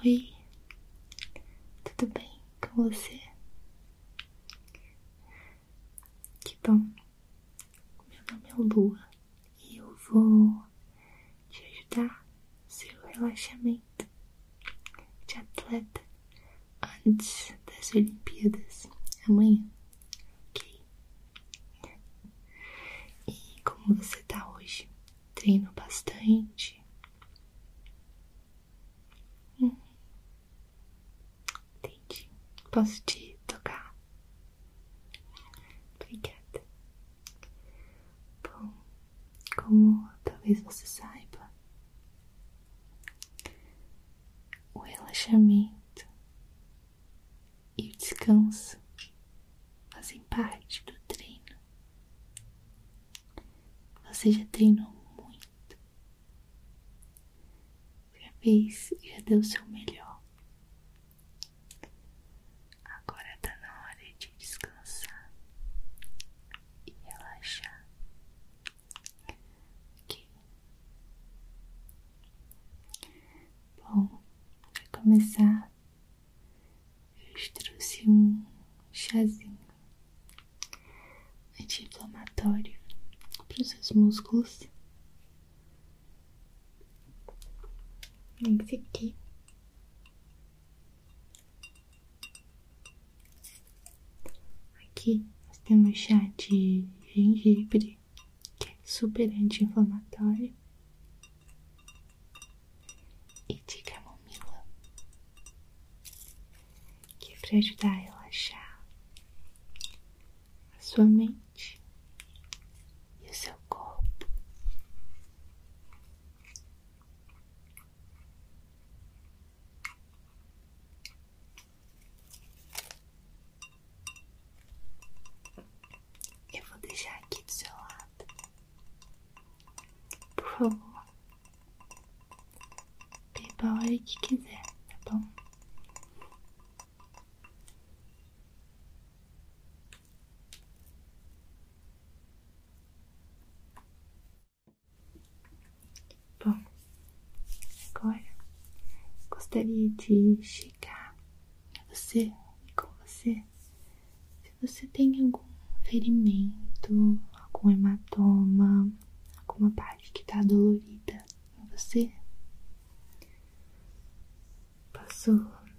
Oi, tudo bem com você? Que bom. Meu nome é Lua e eu vou te ajudar no seu relaxamento de atleta antes das Olimpíadas amanhã. Ok? E como você tá hoje? Treino bastante? Hum. Entendi. Posso te tocar? Obrigada. Bom, como talvez você saiba, o relaxamento e descansa, fazem parte do treino. Você já treinou muito, já fez, já deu o seu melhor. Agora tá na hora de descansar e relaxar. Okay. Bom, para começar, eu trouxe um chazinho anti-inflamatório para os seus músculos. Esse aqui. Aqui nós temos chá de gengibre, que é super anti-inflamatório, e de camomila, que é para ajudar a relaxar a sua mente e o seu corpo. Eu vou deixar aqui do seu lado. Por favor. Beba a hora que quiser, tá bom? Bom, agora gostaria de chegar é você, é com você. Se você tem algum ferimento, algum hematoma, alguma parte que tá dolorida você, posso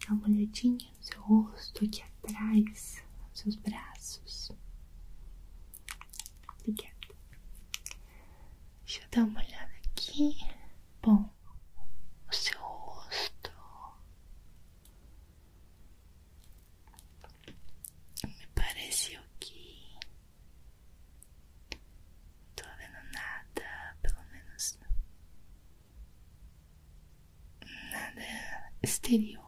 uma olhadinha no seu rosto aqui atrás, nos seus braços. Obrigada. Deixa eu dar uma olhada aqui. Bom, o seu rosto me pareceu que não tô vendo nada, pelo menos nada exterior.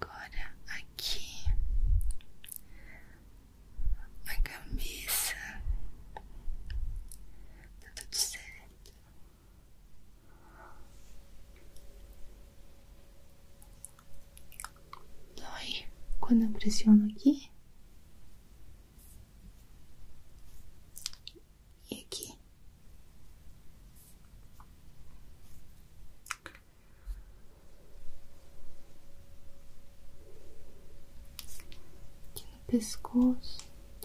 Agora aqui a cabeça tá tudo certo. Dói quando eu pressiono aqui. E aqui. Aqui no pescoço.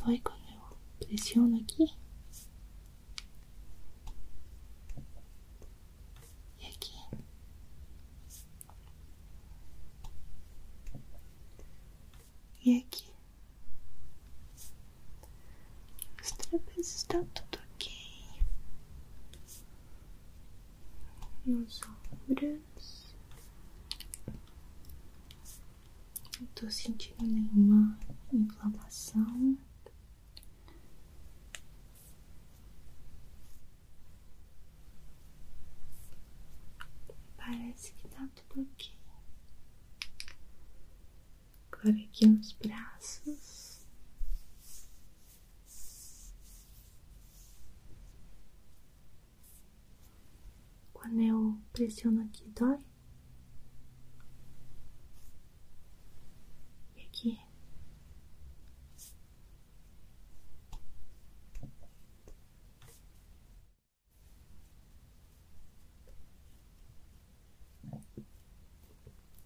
Dói quando pressiona aqui. E aqui e aqui. Os trapézios estão tá tudo ok. Nos ombros. Não estou sentindo nenhuma inflamação. Parece que está tudo aqui. Agora aqui nos braços. Quando eu pressiono aqui, dói. E aqui.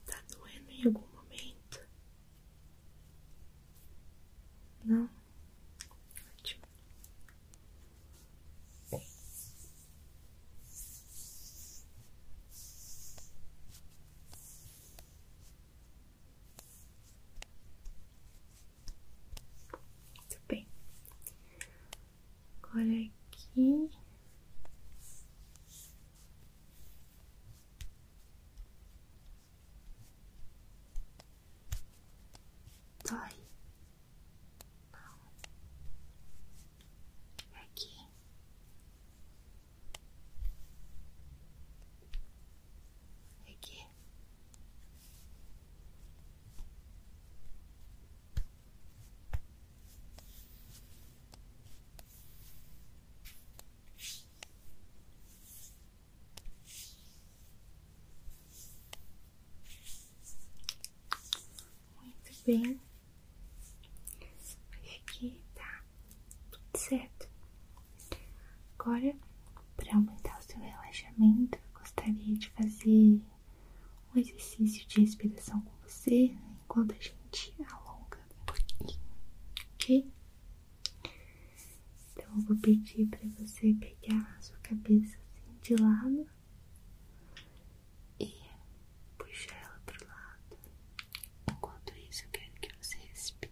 Tá doendo em algum momento? Não? Muito bem. Agora aqui. Dói. É aqui. É aqui. Muito bem, acho tá tudo certo. Agora para aumentar o seu relaxamento, eu gostaria de fazer um exercício de respiração com você né, enquanto a gente alonga um pouquinho, ok? Então eu vou pedir para você pegar a sua cabeça assim de lado e puxar ela o lado. Enquanto isso, eu quero que você respire.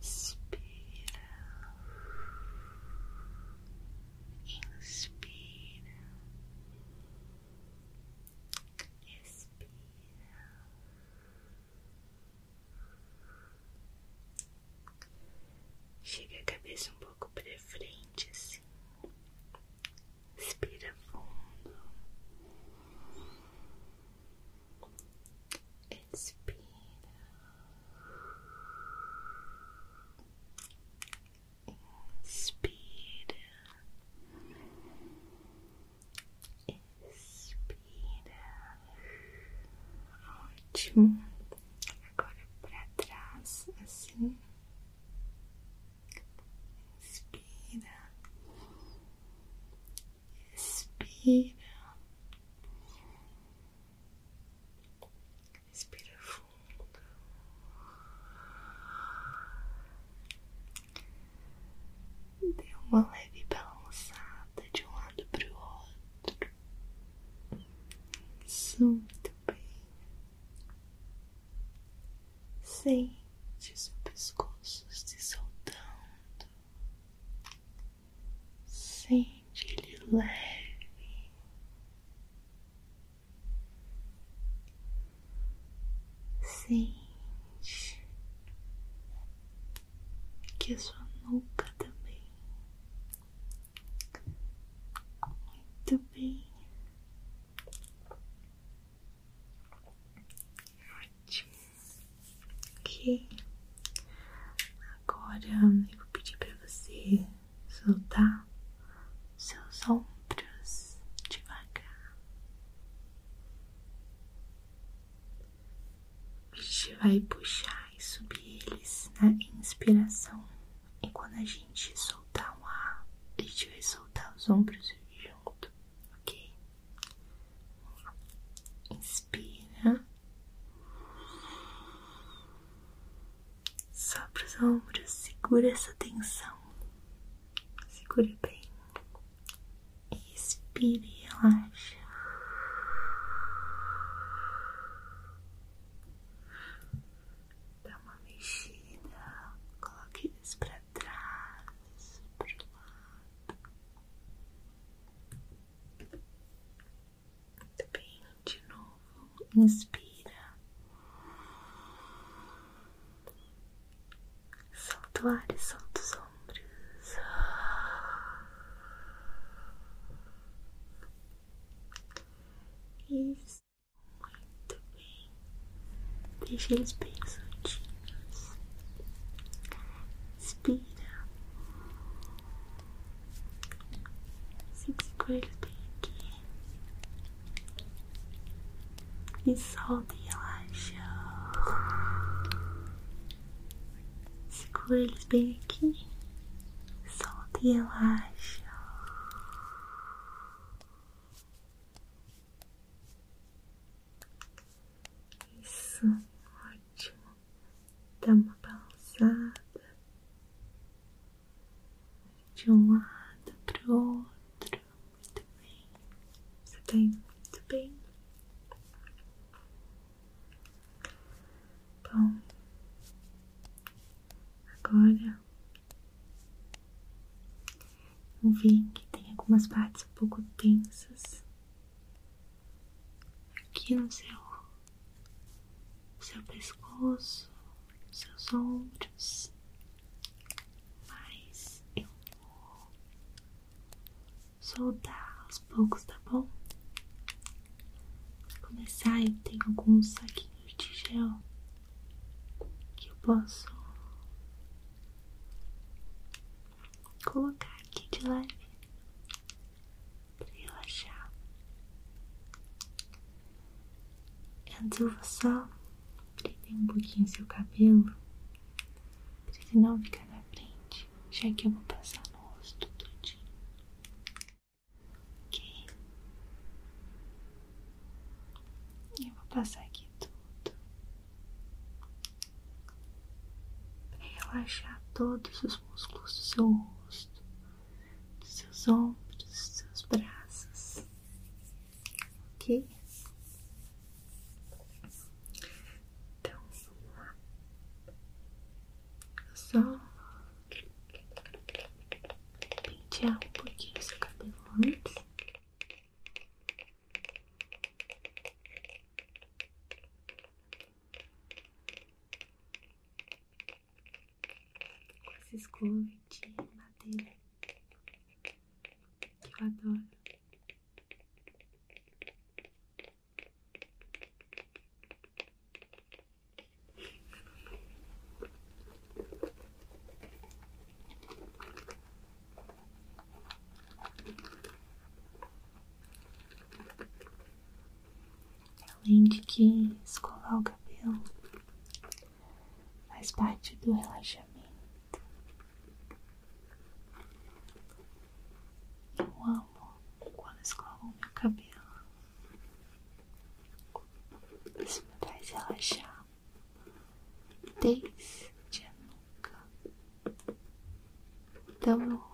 Expira. Inspira. Expira. Chega a cabeça um pouco para frente assim. Expira fundo. Expira. Inspira. Expira. Ótimo. Agora para trás, assim. Inspira. Respira. Respira fundo. deu uma leve balançada de um lado para o outro. Isso, muito bem. Sente seu pescoço se soltando. Sente ele leve, sente que a sua nuca também muito bem. Ótimo. Ok. Agora eu vou pedir para você soltar seus ombros devagar. A gente vai puxar e subir eles na inspiração. E quando a gente soltar o ar, a gente vai soltar os ombros junto, ok? Inspira. Sopra os ombros, segura essa tensão. Segure bem. Expire e relaxa. Dá uma mexida. Coloque eles pra trás, pro lado. Muito bem, de novo, inspira, solta o ar os ombros. Isso, muito bem, deixa eles bem soltinhos. Inspira. Sinta os coelhos bem tá aqui. E solta e relaxa. Segura eles bem aqui. Solta relaxa. Isso, ótimo. Dá uma balançada de um lado para o outro. Muito bem. Você tá indo muito bem. Bom, agora eu vi que tem algumas partes um pouco tensas aqui no seu, seu pescoço, seus ombros, mas eu vou soltar aos poucos, tá bom? Pra começar, eu tenho alguns saquinhos de gel que eu posso colocar aqui de leve para relaxar. Eu vou só prender um pouquinho seu cabelo para ele não ficar na frente, já que eu vou passar no rosto todinho. Ok? Eu vou passar aqui tudo para relaxar todos os músculos do seu rosto, dos seus ombros, dos seus braços, ok? Então vamos lá, só pentear um pouquinho o seu cabelo antes. Com essa escova de madeira que eu adoro. Além de que escovar o cabelo faz parte do relaxamento. Eu amo quando escovo o meu cabelo. Isso me faz relaxar desde a noite boca, pelo então,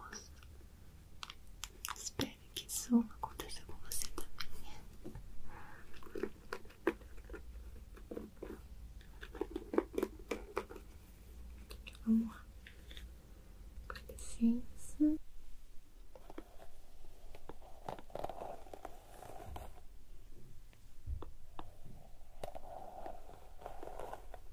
Espero que isso aconteça com você também. Vamos lá. Com licença.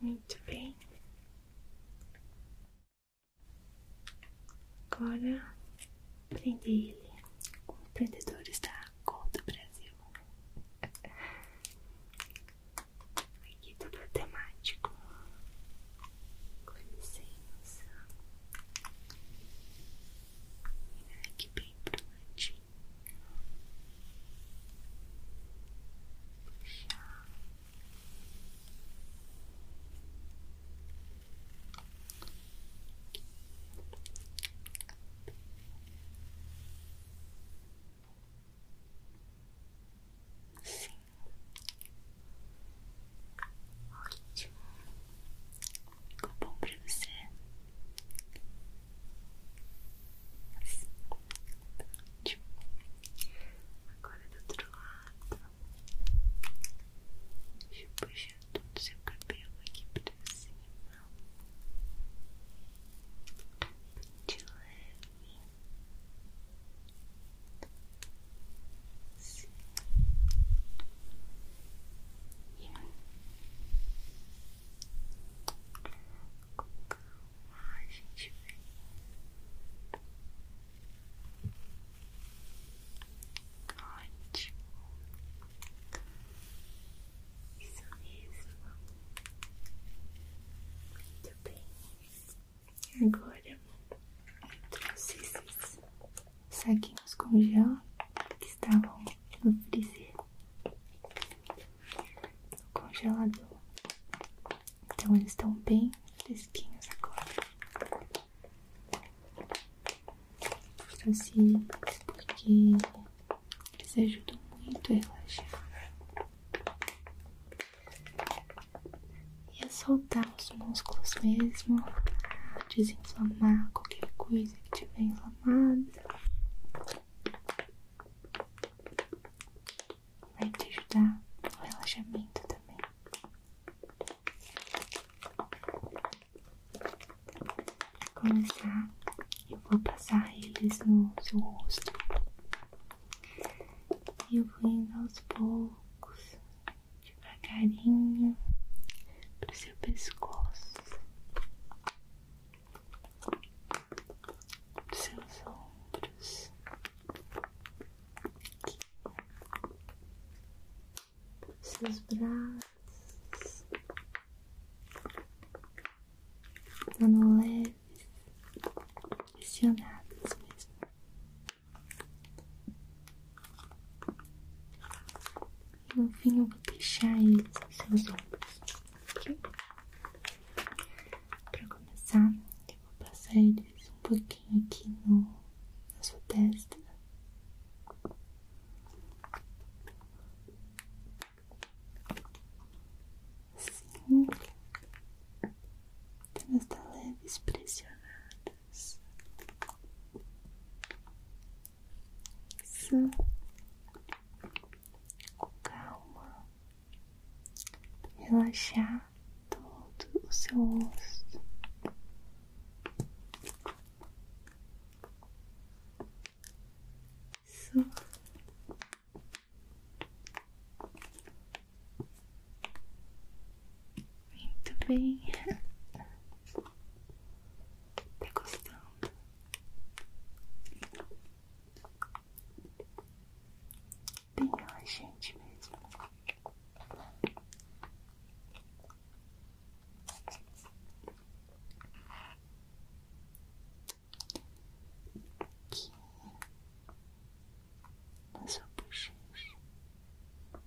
Muito bem. Agora prende ele com prendedores da cor do Brasil. Aqui do é temático. Com licença. Que bem pro ladinho. Puxar. Sim, Ótimo. Ficou bom pra você? Assim. Ótimo. Agora do outro lado. Deixa eu puxar todo o seu cabelo aqui pra cima. De leve. E com calma a gente vem. Ótimo. Isso mesmo. Muito bem. Agora, trouxe esses saquinhos com que estavam no freezer, no congelador. Então eles estão bem fresquinhos agora. Trouxe assim, eles porque eles ajudam muito a relaxar ia soltar os músculos mesmo, desinflamar qualquer coisa que tiver inflamada, vai te ajudar no relaxamento também. Pra começar, eu vou passar eles no seu rosto. E eu vou indo aos poucos, devagarinho pro seu pescoço, seus ombros. Aqui. Seus braços dando leves, pressionados mesmo, e eu vou deixar eles seus ombros, ok? Pra começar, eu vou passar eles um pouquinho aqui no, na sua testa. Assim. Apenas está leve, pressionada juntas. com calma, relaxar todo o seu osso. Muito bem. Tá gostando? Bem gente mesmo. Aqui na sua bochecha.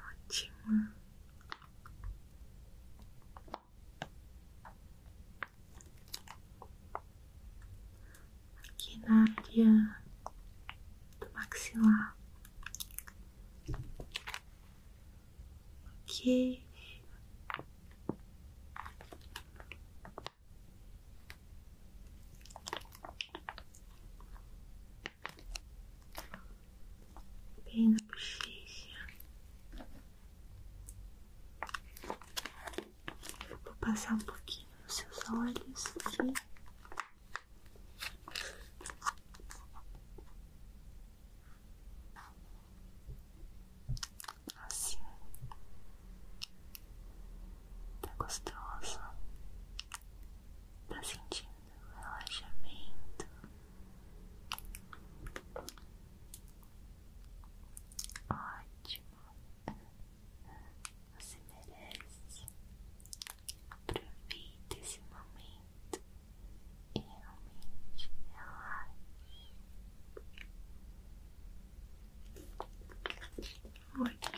Ótimo. Aqui na área do maxilar. Ok. Bem na bochecha. Vou passar um pouquinho nos seus olhos aqui. Assim. Tá gostoso. Tá sentindo relaxamento? Ótimo. Você merece. Aproveite esse momento e realmente relaxe. Muito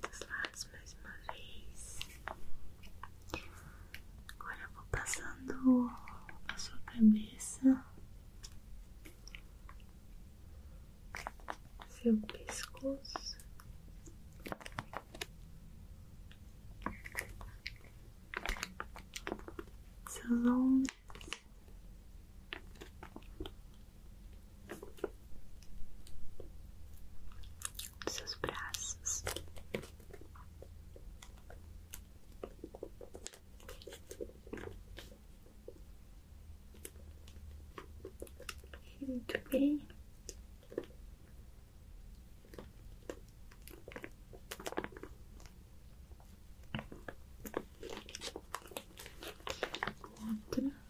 dos lados mais uma vez. Agora vou passando a sua cabeça, seu pescoço. Seus ombros, seus braços. Muito bem. Outra.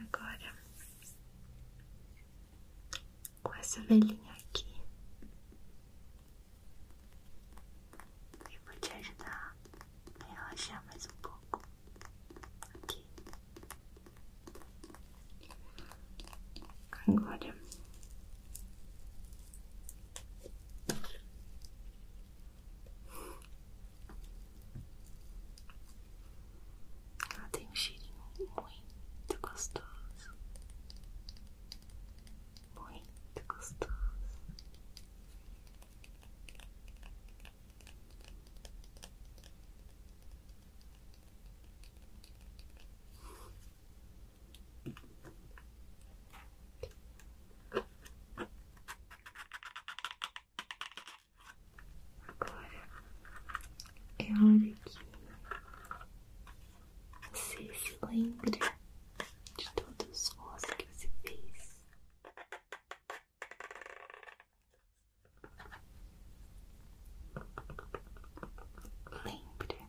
Agora, com essa velhinha aqui, eu vou te ajudar a relaxar mais um pouco. Aqui. Agora. Ela tem um cheirinho muito gostoso, muito gostoso. Agora é hora que você se lembre de todos os voos que você fez. Lembre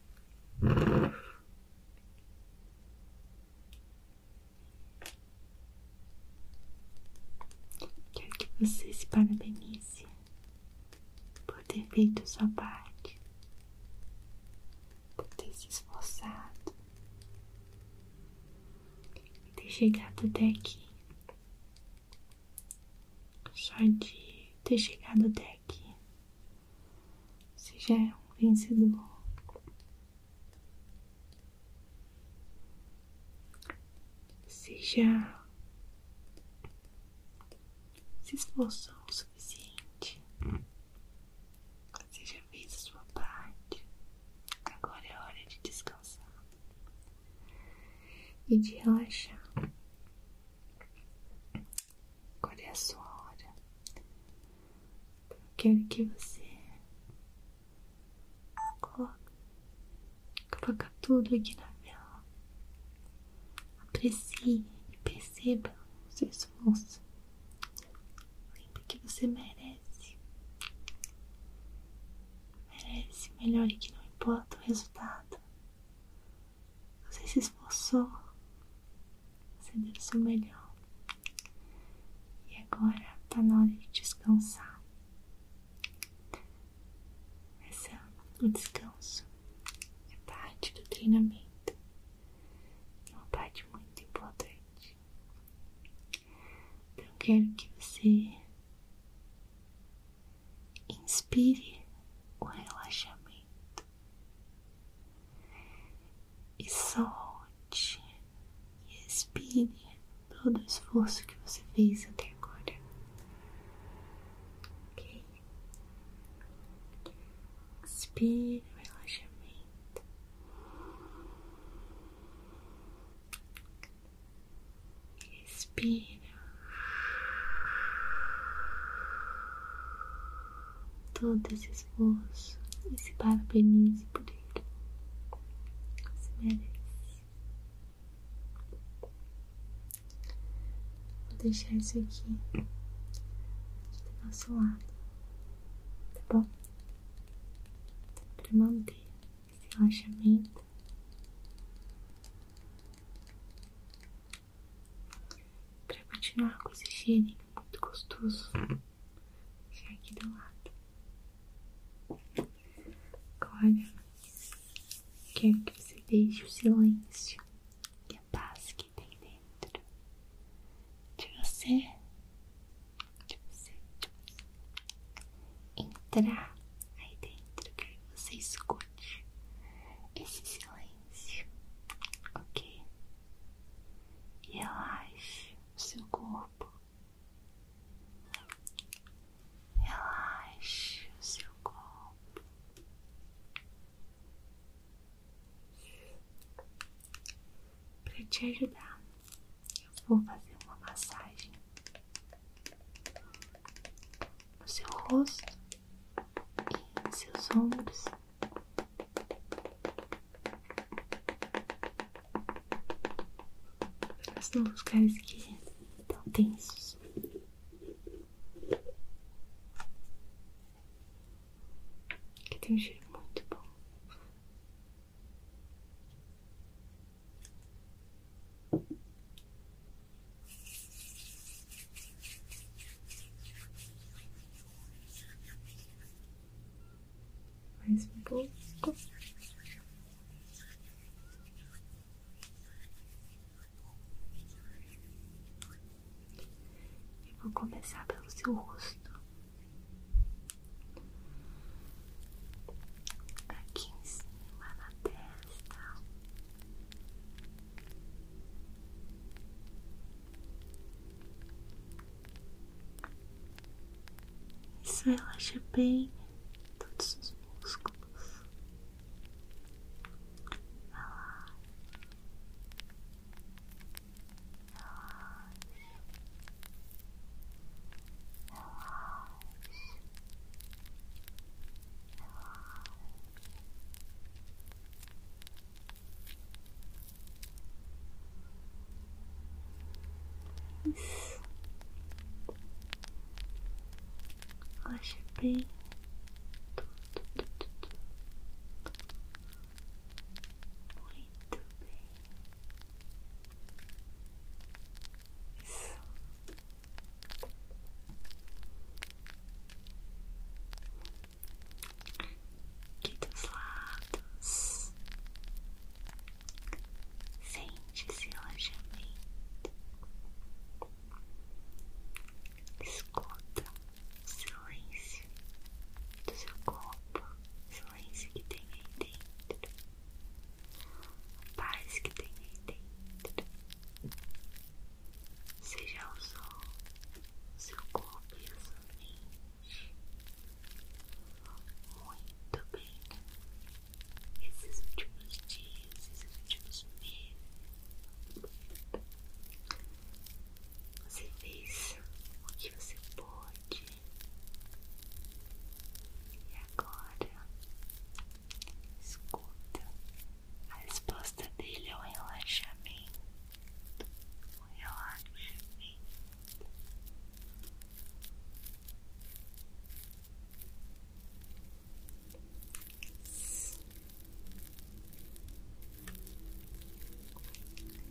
Quero que você se parabenize por ter feito sua parte, por ter se esforçado ter chegado até aqui. Só de ter chegado até aqui se já é um vencedor. Se já se esforçou o suficiente, se já fez a sua parte, agora é hora de descansar e de relaxar. Agora é a sua hora. Eu quero que você coloque, coloque tudo aqui na vela. Aprecie e perceba o seu esforço. Lembre que você merece. Merece melhor e que não importa o resultado. Você se esforçou, você deu o seu melhor. E agora está na hora de descansar. Essa, ah, o descanso é parte do treinamento. É uma parte muito importante. Então eu quero que você inspire o relaxamento. E solte e expire todo o esforço que você fez até agora. Ok? Expire o relaxamento. Expira todo esse esforço e se parabenize por ele. você merece. Vou deixar isso aqui do nosso lado, tá bom? Para manter esse relaxamento. Pra continuar com esse cheirinho muito gostoso, já aqui do lado. Agora, quero que você deixe o silêncio e a paz que tem dentro de você, de você, de você. entrar aí dentro. Quero que você escute esse silêncio mente, ok? E relaxe o seu corpo, relaxe o seu corpo. Para te ajudar, eu vou fazer uma massagem no seu rosto em seus ombros. Nos lugares que estão tensos. Que tem um cheiro muito bom. Mais um pouco. E vou começar pelo seu rosto. Aqui em cima na testa. Isso relaxa bem todos os músculos. I should be going to be aqui dos lados, sente esse relaxamento, escuta o silêncio do seu corpo, o silêncio que tem aí dentro, a paz que tem aí dentro. seja o usou seu corpo e sua mente muito bem. Esses últimos dias, esses últimos meses, você fez o que você pode? e agora escuta. A resposta dele é um relaxamento. um relaxamento.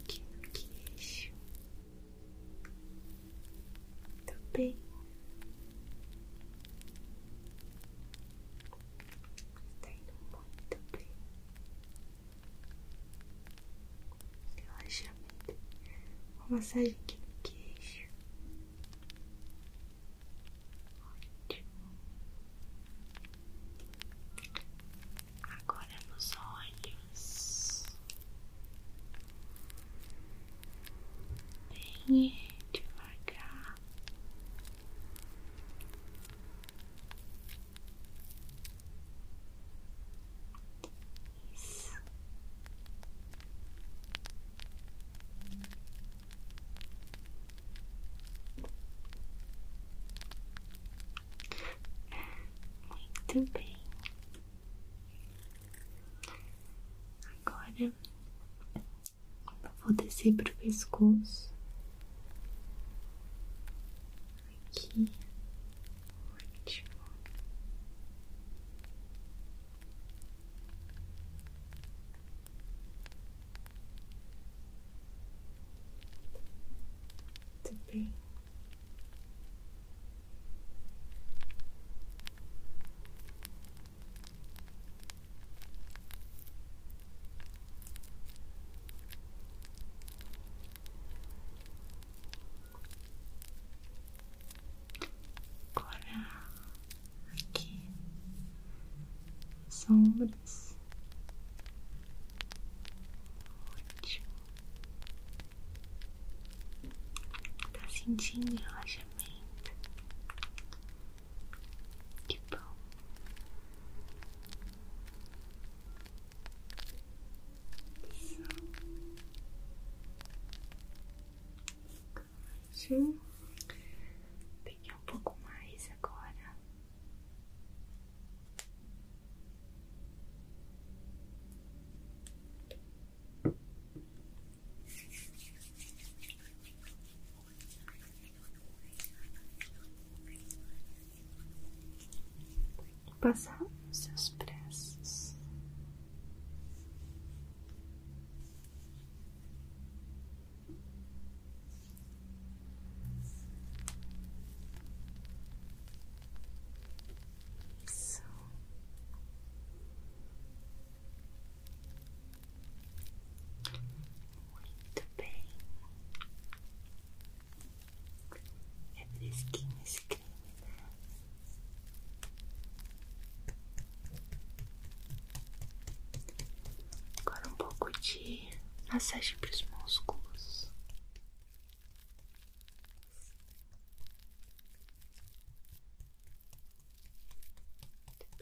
Aqui no queixo. bem. Está indo muito bem. Relaxamento. Uma massagem aqui no queixo. Ótimo. Agora nos olhos. Bem devagar. É, muito bem. Agora vou descer para o pescoço, aqui, ótimo. Muito bem. Agora aqui sombras. Ótimo. Tá sentindo relaxamento. Que bom. Sim. Peguei um pouco mais agora. Passar seus braços muito bem. É fresquinho esse né? Agora um pouco de massagem para os músculos. Muito bem.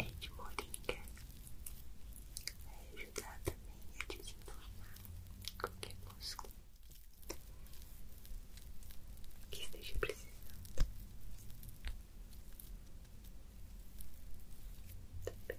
É Endmoringa vai ajudar também a desinflamar qualquer músculo que esteja precisando. Também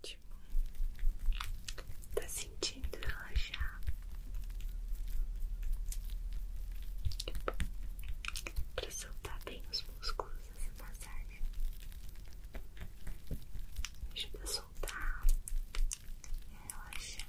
ótimo. Tá sentindo relaxar? Pra soltar bem os músculos essa assim, massagem. Né? Ajuda a soltar e relaxar.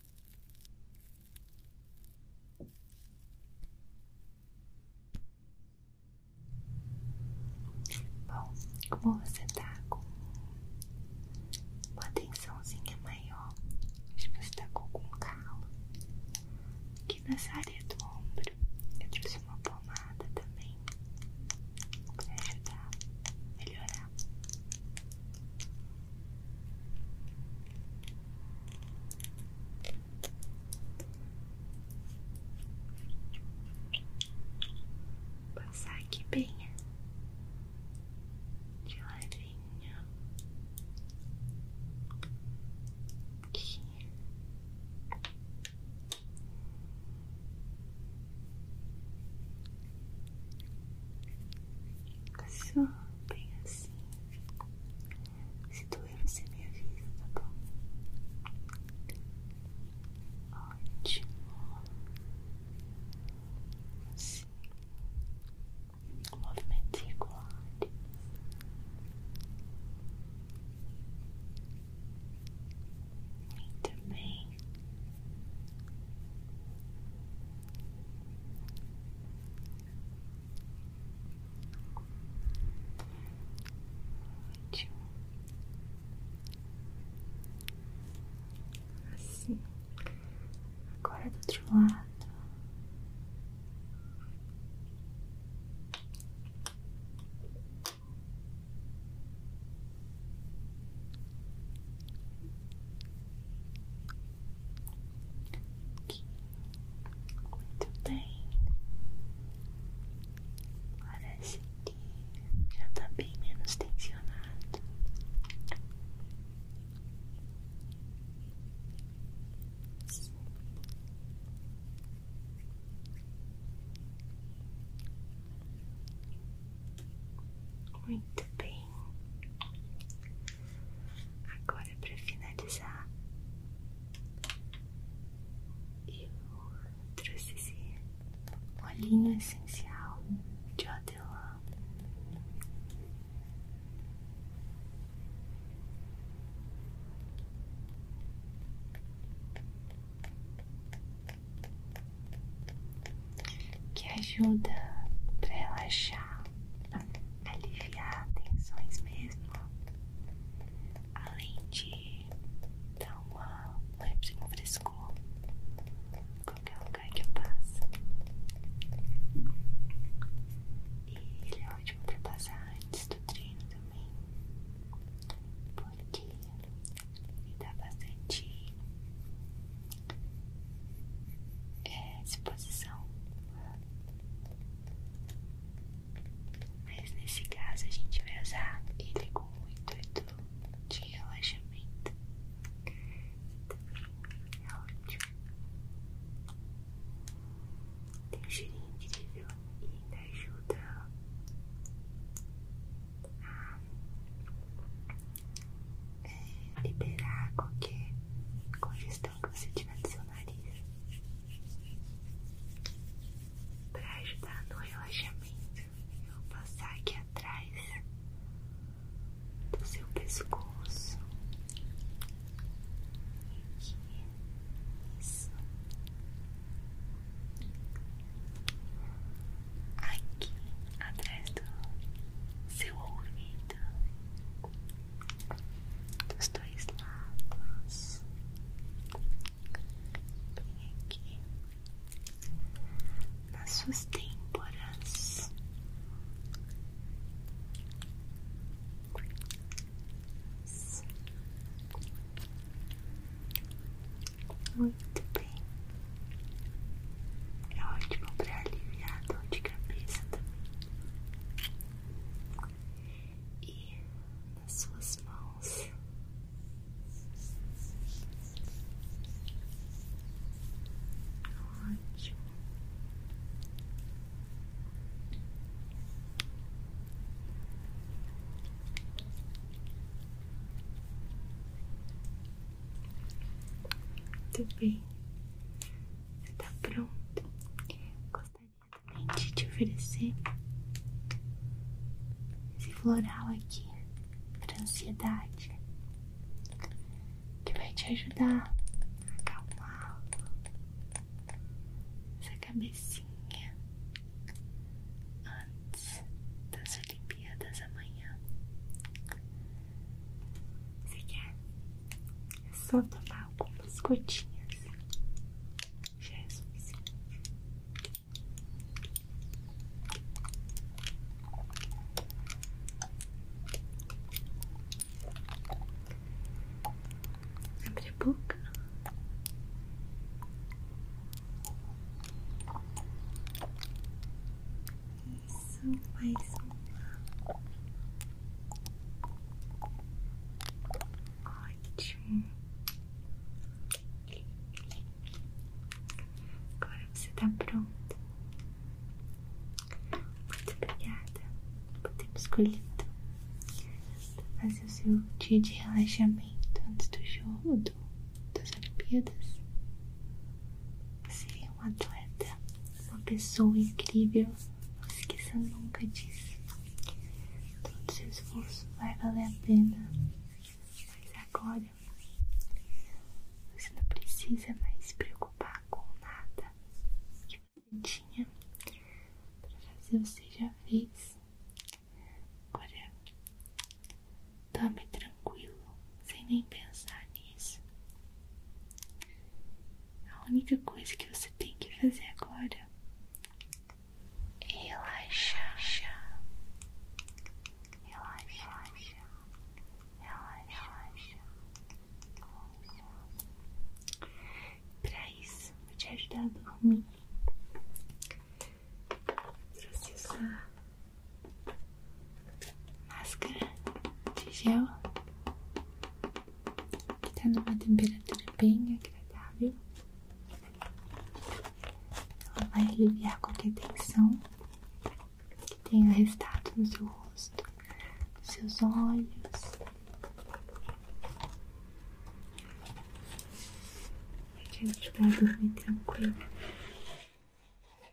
Bom, como você tá com uma tensãozinha maior, acho que você tá com algum calo aqui nessa área do ombro. Eu trouxe uma pomada também pra ajudar a melhorar. Passar aqui bem né? de ladinho só bem assim. Se doer, você me avisa, tá bom? Ótimo. Assim. Com movimentos regulares. E também Ótimo. Assim. Agora do outro lado. Muito bem. Parece que já está bem menos tensionado. Muito bem. Agora, para finalizar, eu trouxe esse olhinho essencial de hortelã que ajuda para relaxar, aliviar tensões mesmo, além de dar uma leve um fresco em qualquer lugar que eu passe. E ele é ótimo para passar antes do treino também, porque me dá bastante é, disposição. Mas nesse caso a gente vai usar ele com o intuito de relaxamento. Também é ótimo. Tem um cheirinho incrível e ainda ajuda a é, liberar qualquer congestão que você tiver do seu nariz para ajudar no relaxamento. Eu vou passar aqui atrás do seu pescoço. Aqui. Isso. Aqui atrás do seu ouvido dos dois lados. Vem aqui nas suas têmporas. Muito bem. É ótimo para aliviar dor de cabeça também. E nas suas mãos. Ótimo. Muito bem. Você tá pronto? Gostaria também de te oferecer esse floral aqui para ansiedade que vai te ajudar a acalmar essa cabecinha antes das Olimpíadas amanhã. Você quer? só tomar algumas gotinhas. Já Abre a boca. Isso, mais uma. Ótimo. Agora você está pronto. Muito obrigada por ter me escolhido fazer o seu dia de relaxamento antes do jogo do, das Olimpíadas. Você é um atleta, uma pessoa incrível. Não esqueça nunca disso. Todo seu esforço vai valer a pena. Mas agora você não precisa mais se preocupar com nada que você tinha para fazer, você já fez. Agora, tome tranquilo, sem nem pensar nisso. A única coisa que você tem que fazer agora é relaxar. relaxar, relaxa, relaxa. Para isso, vou te ajudar a dormir. Vou Processar máscara de gel que tá numa temperatura bem agradável. Ela vai aliviar qualquer tensão que tenha restado no seu rosto, nos seus olhos. Vai te ajudar dormir tranquilo.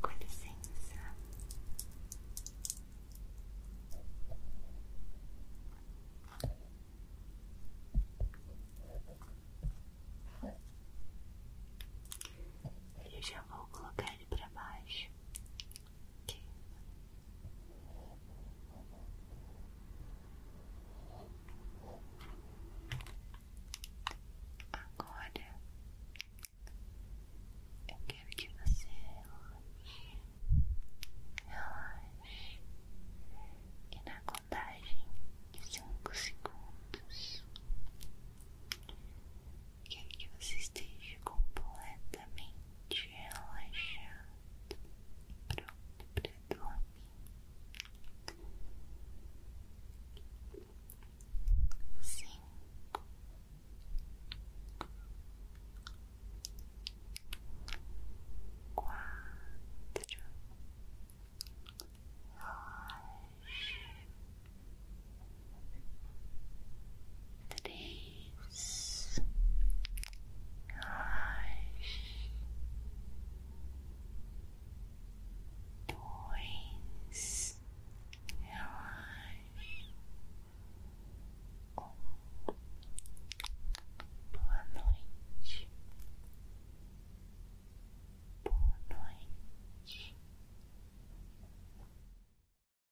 Com licença. Eu já vou colocar ele para baixo Agora eu quero que você relaxe, relaxe e na contagem de cinco segundos Quero que você esteja completamente relaxado e pronto para dormir. Cinco, quatro, dois, três, dois, dois, um. Boa noite. Boa noite.